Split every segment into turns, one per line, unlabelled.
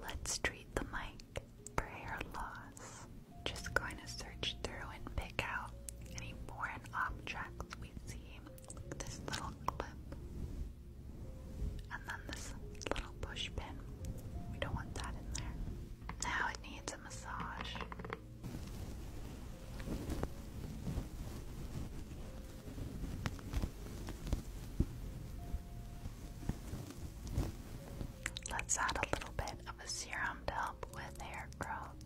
Let's treat the mic for hair loss. Just going to search through and pick out any foreign objects we see. This little clip. And then this little push We don't want that in there. Now it needs a massage. Let's add a little bit of a serum to help with hair growth.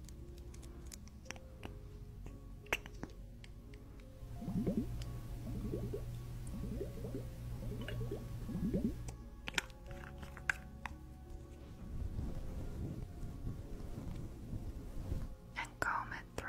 And comb it through.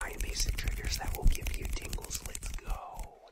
Find basic triggers that will give you tingles. Let's go.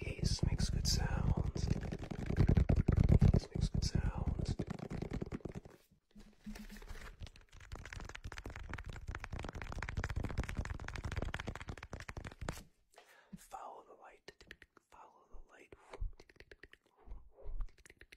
Yes, makes good sounds. Yes, makes good sounds. Follow the light. Follow the light.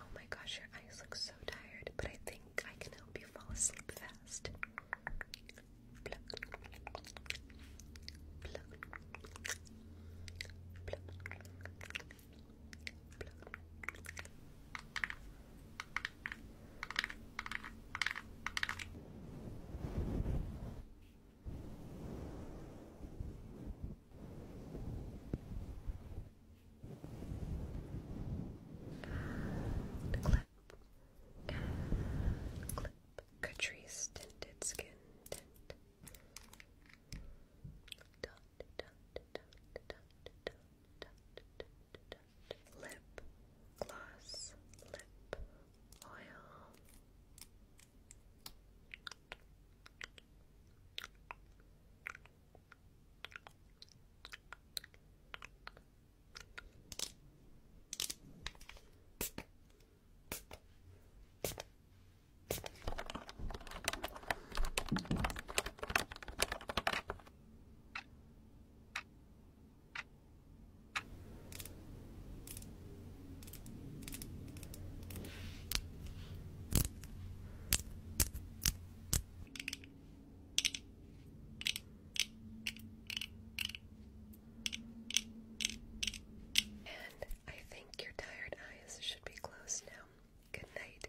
Oh my gosh, your eyes look so tired, but I think I can help you fall asleep fast. And clip clip Catrice tinted skin lip gloss, lip oil. And I think your tired eyes should be closed now. Good night.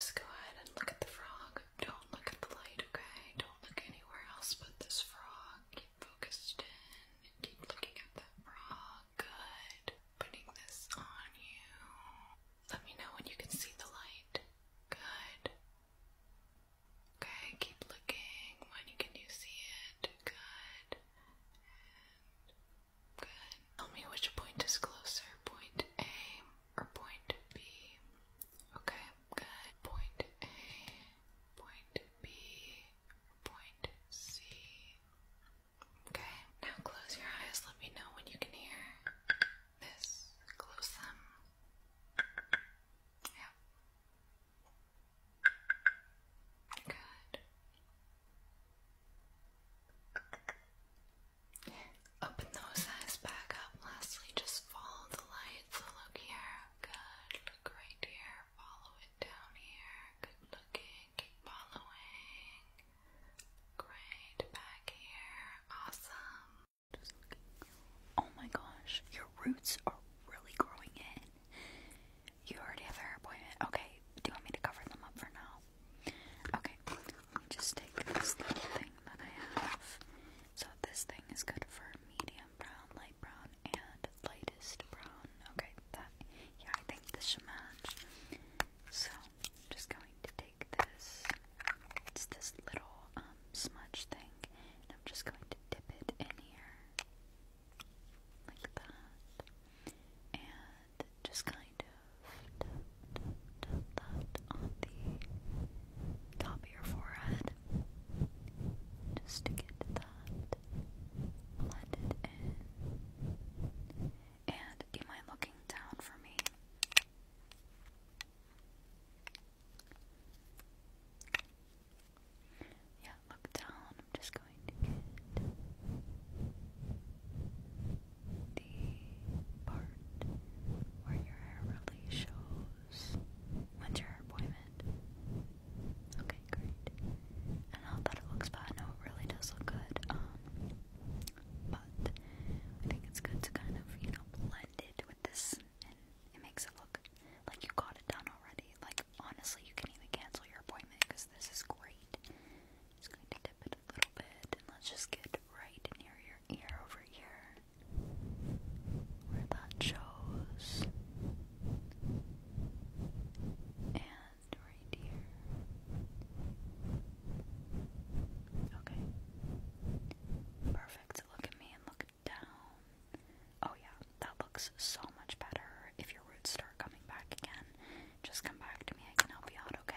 Just go ahead and look at the frog. Don't look at the light, okay? Don't look anywhere else but this frog. Keep focused in keep looking at that frog not good putting this on you. Let me know when you can see the light. Good. Okay, keep looking. When can you see it? Good. good. Tell me which point is closer, point A or point B. Okay, good. Point A, point B, point C. Okay, now close your eyes. Let me know when you can hear this. Close them. Yeah. Good. Open those eyes back up. Lastly, just follow the light. look here. Good. Look here. Follow down here. Good looking. Keep following. Great. Back here. Awesome. oh my gosh, your roots are really growing in. You already have a appointment. Okay, do you want me to cover them up for now? Okay, just take this thing that I have. So this thing is good for medium brown, light brown, brown and lightest brown. Okay, that yeah, I think this should match. So I'm just going to take this. It's this little um smudge thing, and I'm just going to dip it in here like that, and just kind of dip, dip, dip that on the top of your forehead, just to get that blend it in. And do you mind looking down for me? Yeah, look down. I'm just going to get the part where your hair really shows. When's your appointment? Okay quite great. And not that it looks bad, no, it really does look good. Um, but I think it's good to kind of, you know, blend it with this and it makes it look like you got it done already. Like, honestly, you can even cancel your appointment because this is great. Just going to dip it a little bit and let's just get right near your ear over here where that shows. And right here. Okay. Perfect. Look at me and look down. Oh yeah, that looks so much better. If your roots start coming back again, just come back to me. I can help you out, okay?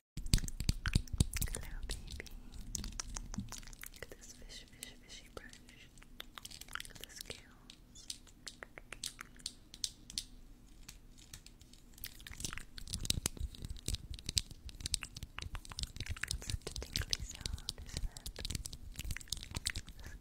Hello, baby. Look at this fish, fish, fishy brush. Look at the scales. It's such a tingly sound, isn't it? The scales.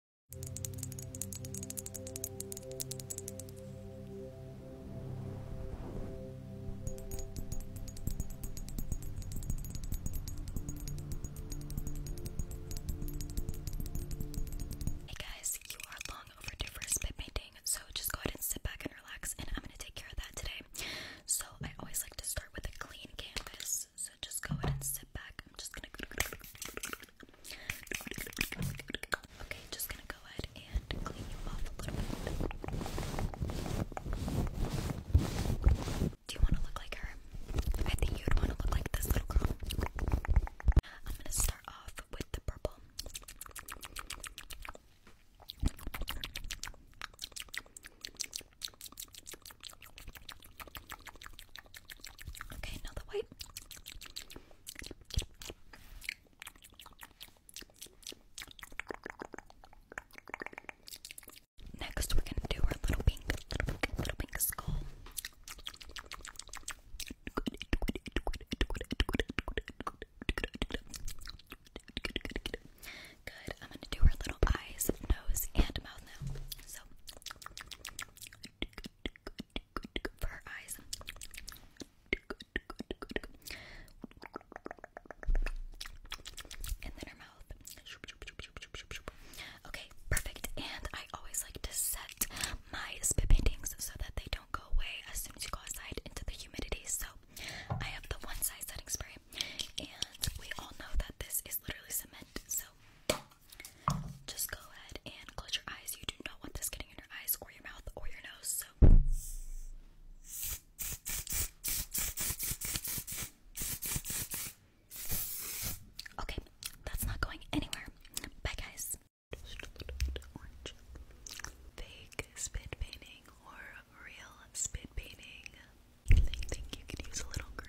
Hey guys, you are long overdue for spit painting, so just go ahead and sit back and relax, and I'm gonna take care of that today. So I always like to start with a clean canvas, so just go ahead and sit back, Okay, just gonna go ahead and clean you off a little bit. Do you wanna look like her? I think you'd wanna look like this little girl. I'm gonna start off with the purple. Okay, now the white. Next, we're gonna do our little pink, little pink, little pink skull. Good. I'm gonna do our little eyes, nose, and mouth now. So, for her eyes. And then her mouth. Okay, perfect. And I always like to set my spit paintings so that they don't go away as soon as you go outside into the humidity. So I have the one side setting spray, and we all know that this is literally cement. So just go ahead and close your eyes. You do not want this getting in your eyes or your mouth or your nose. So Okay, that's not going anywhere. Bye guys. Fake spit painting or real spit painting. I think you could use a little green.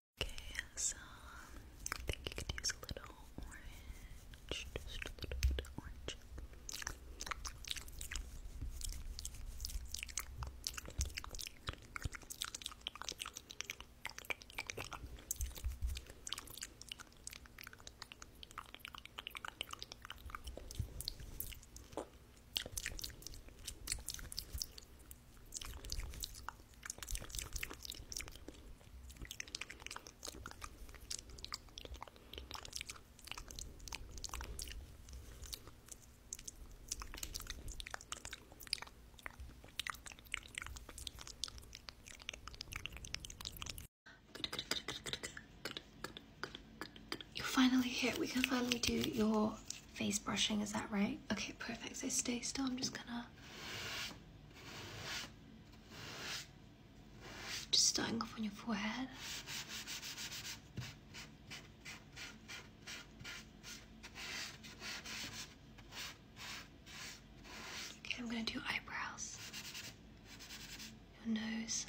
Okay, so I think you could use a little orange, just a little bit of orange. You're finally here. We can finally do your face brushing. Is that right? Okay, perfect. So stay still. I'm just gonna just starting off on your forehead. Okay, I'm going to do eyebrows, your nose,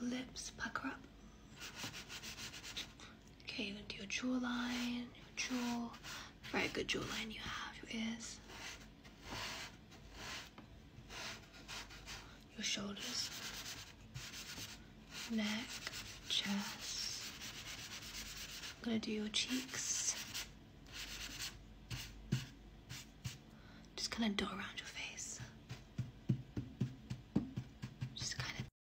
your lips, pucker up. Okay, you're gonna do your jawline, your jaw,
very good jawline
you have, your ears, your shoulders, neck, chest. gonna do your cheeks. Just kind of dot around your face. Just kind of.